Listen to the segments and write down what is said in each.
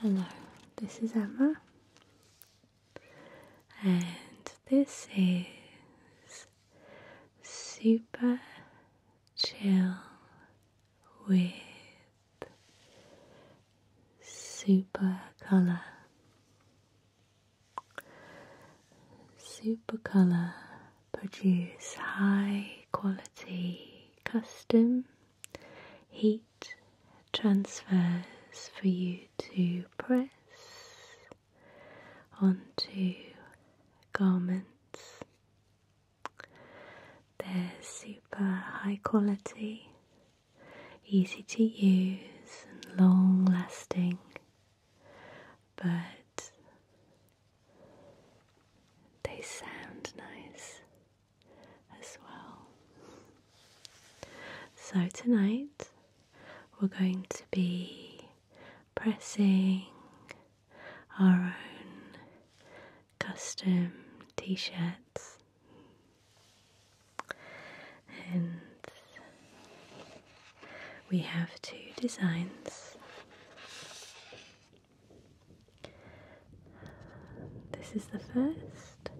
Hello, this is Emma, and this is Super Chill with Super Color. Super Color produce high quality custom heat transfers for you to press onto garments. They're super high quality, easy to use, and long lasting but they sound nice as well. So, tonight we're going to be pressing our own custom t shirts. And we have two designs. This is the first.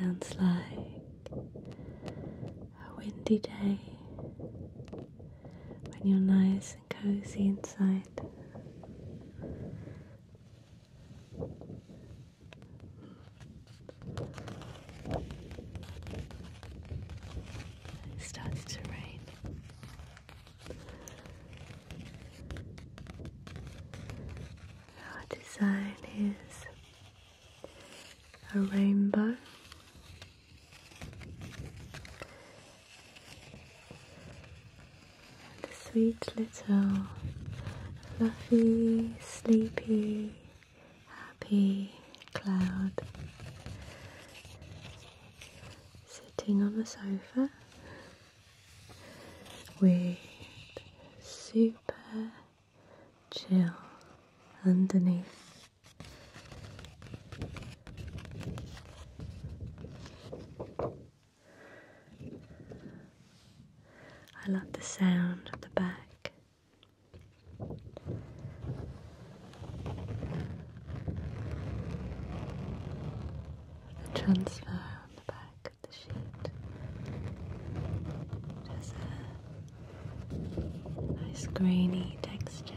sounds like a windy day when you're nice and cozy inside. It started to rain. Our design is a rainbow the sweet little fluffy, sleepy, happy cloud sitting on the sofa with super chill underneath. I love the sound of the back. The transfer on the back of the sheet. It a nice grainy texture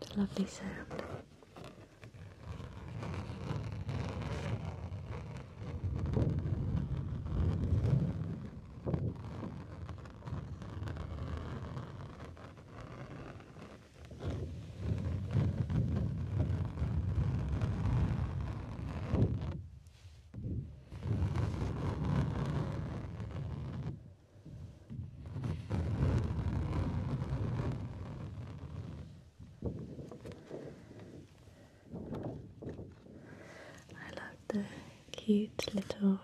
the lovely sound. I love the cute little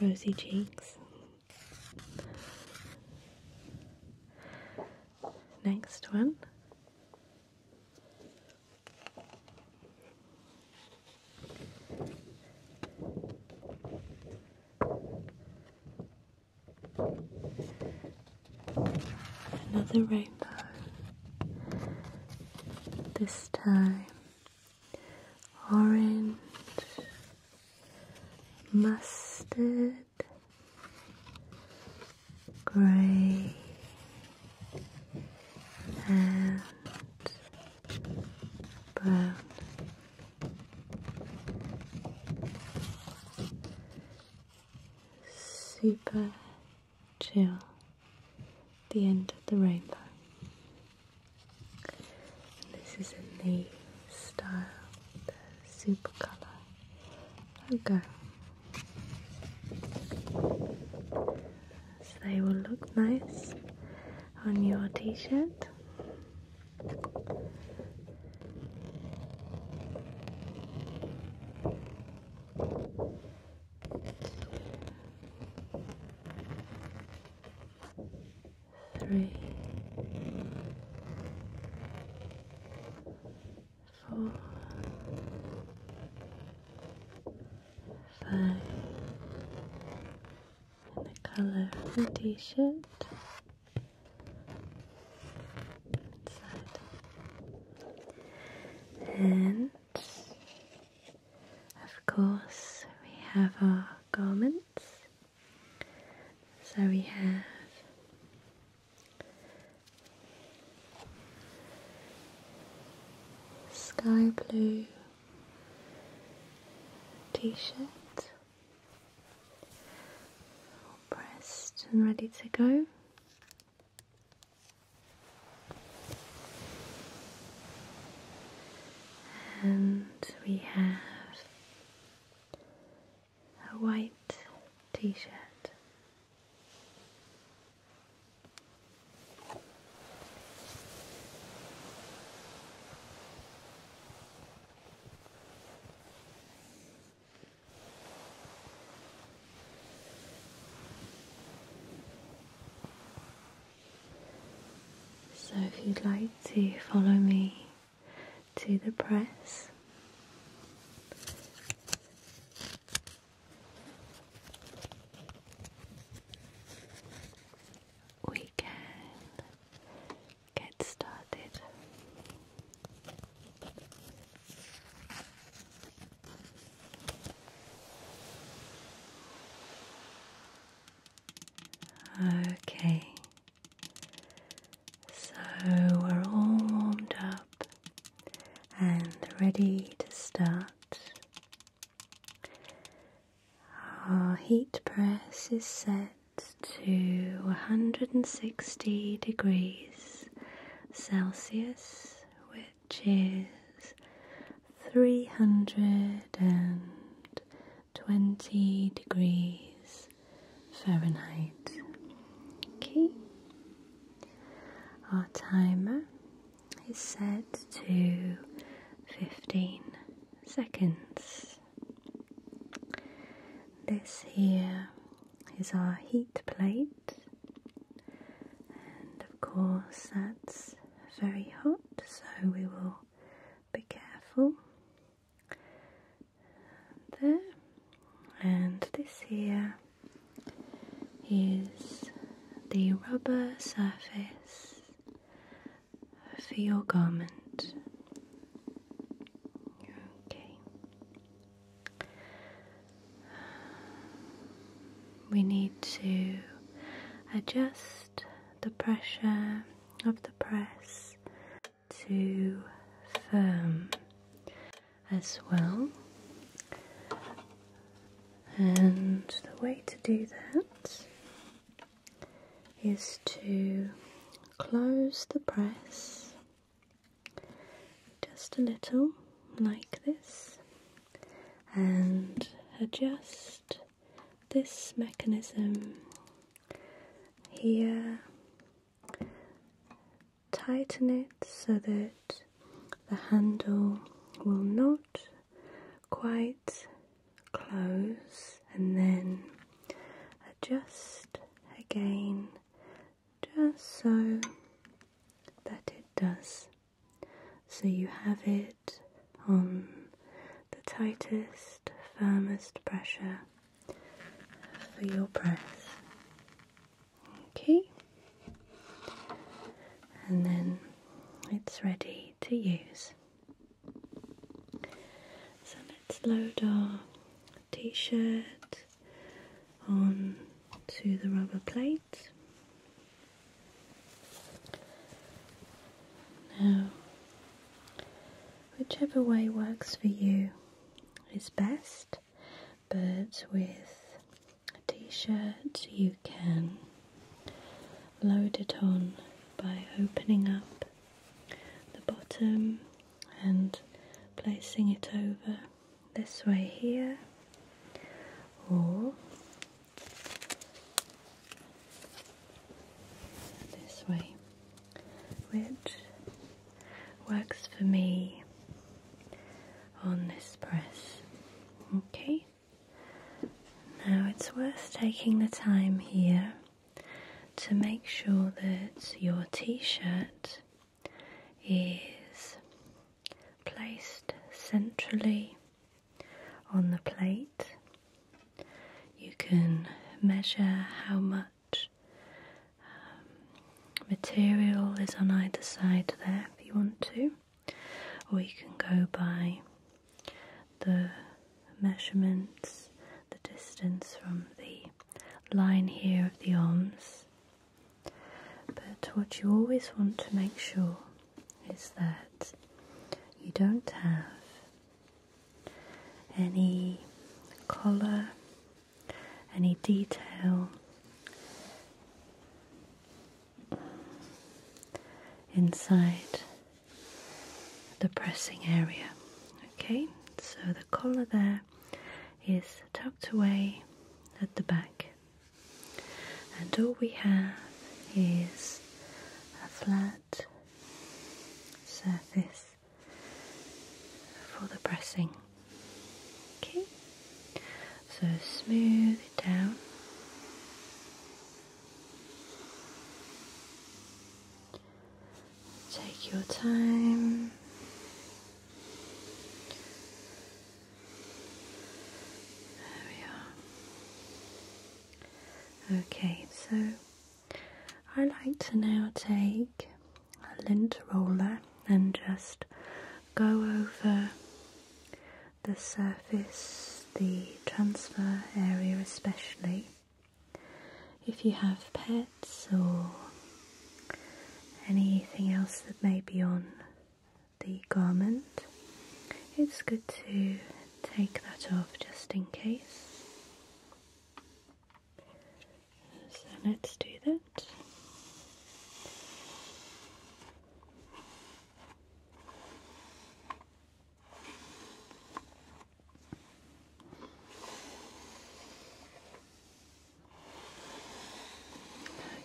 rosy cheeks. Next one. Another rainbow. This time orange, mustard, grey, and brown. Super chill, the end of the rainbow. this is a new style, super colour Okay, So they will look nice on your t shirt. Three, five and the color of the t-shirt and of course we have our garments so we have sky blue t-shirt pressed and ready to go and we have a white t-shirt so, if you'd like to follow me to the press, we can get started. Okay, so we're all warmed up and ready to start our heat press is set to 160 degrees Celsius, which is 320 degrees Fahrenheit. Okay, our timer is set to 15 seconds. This here is our heat plate, and of course, that's very hot, so we will be careful. There, and this here is the rubber surface for your garment. Okay. We need to adjust the pressure of the press to firm as well. And the way to do that is to close the press just a little, like this, and adjust this mechanism here. Tighten it so that the handle will not quite close, and then adjust again, just so that it does. So you have it on the tightest, firmest pressure for your press. Okay, and then it's ready to use. So let's load our t shirt onto the rubber plate. Now, whichever way works for you is best, but with a shirt you can load it on by opening up the bottom and placing it over this way here or this way which works for me on this press. Okay, now it's worth taking the time here to make sure that your t shirt is placed centrally on the plate. You can measure how much um, material is on either side there if you want to or you can go by the measurements, the distance from the line here of the arms. But what you always want to make sure is that you don't have any collar, any detail inside the pressing area. Okay, so the collar there is tucked away at the back, and all we have is a flat surface for the pressing. Okay, so smooth it down. Take your time. There we are. Okay, so I like to now take a lint roller and just go over the surface, the transfer area especially. If you have pets or anything else that may be on the garment, it's good to take that off just in case. So let's do that it.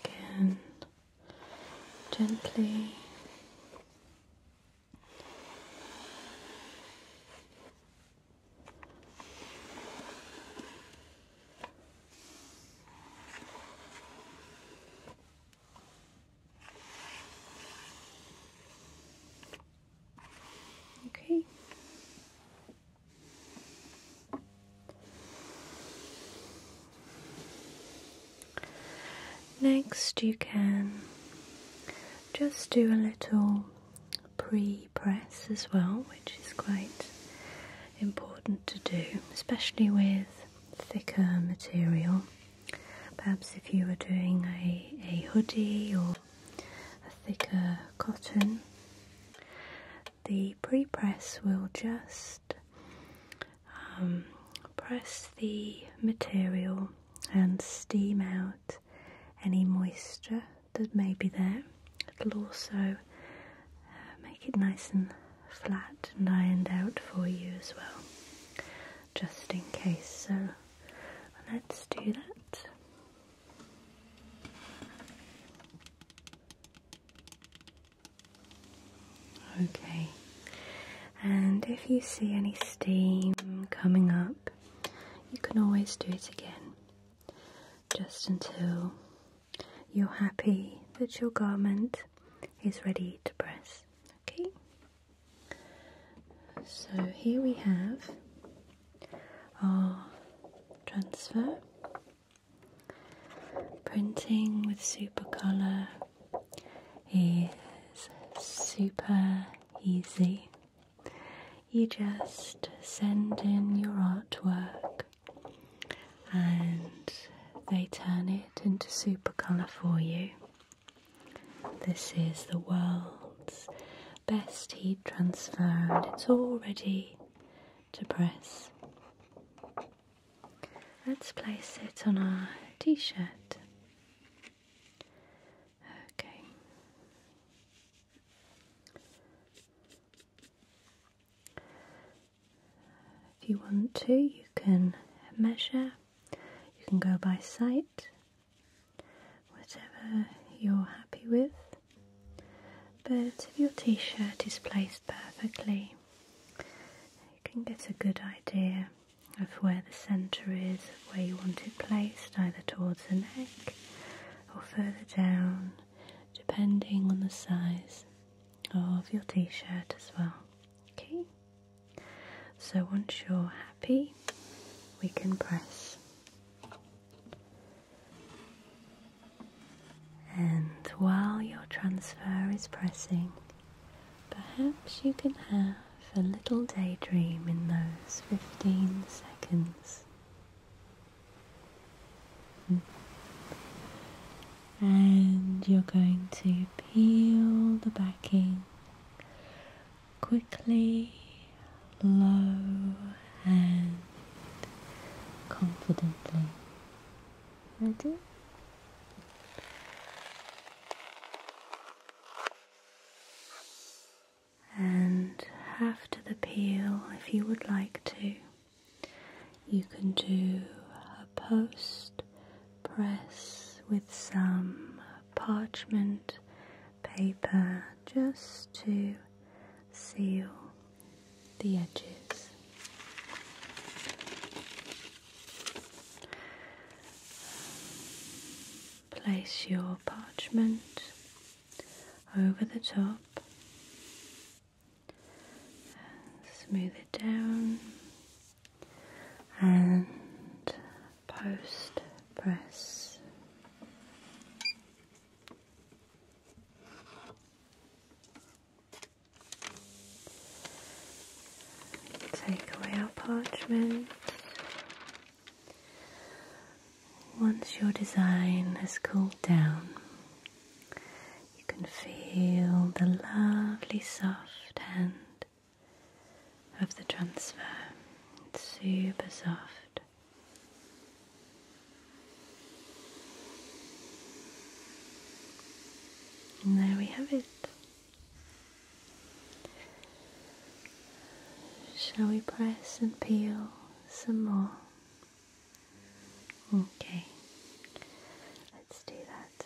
Again, gently. Okay. Next, you can just do a little pre press as well, which is quite important to do, especially with thicker material. Perhaps if you were doing a, a hoodie or a thicker cotton, the pre-press will just um, press the material and steam out any moisture that may be there. It'll also uh, make it nice and flat and ironed out for you as well, just in case. So let's do that. Okay, and if you see any steam coming up, you can always do it again just until you're happy that your garment is ready to press. Okay? So here we have our transfer printing with supercolor is super easy. You just send in your artwork and they turn it into supercolour for you. This is the world's best heat transfer, and it's all ready to press. Let's place it on our t shirt. Okay. If you want to, you can measure, you can go by sight, whatever you're happy with. But if your t shirt is placed perfectly, you can get a good idea of where the centre is, where you want it placed, either towards the neck or further down depending on the size of your t shirt as well. Okay, so once you're happy, we can press. And while your transfer is pressing, perhaps you can have a little daydream in those 15 seconds. And you're going to peel the backing quickly, low, and confidently. Ready? and after the peel, if you would like to, you can do a post press with some parchment paper just to seal the edges. Place your parchment over the top smooth it down and post press. Take away our parchment once your design has cooled down, you can feel the lovely soft hand of the transfer. It's super soft. And there we have it. Shall we press and peel some more? Okay, let's do that.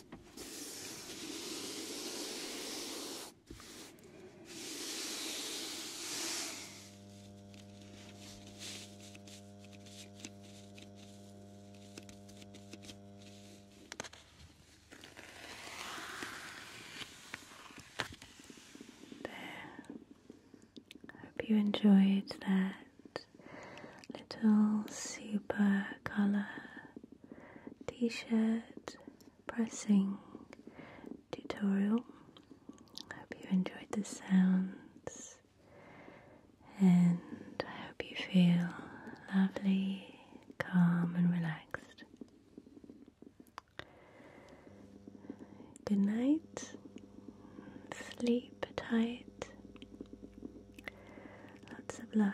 I hope you enjoyed that little super colour t-shirt pressing tutorial. I hope you enjoyed the sounds and I hope you feel lovely, calm and relaxed. Good night, sleep tight, lots of love.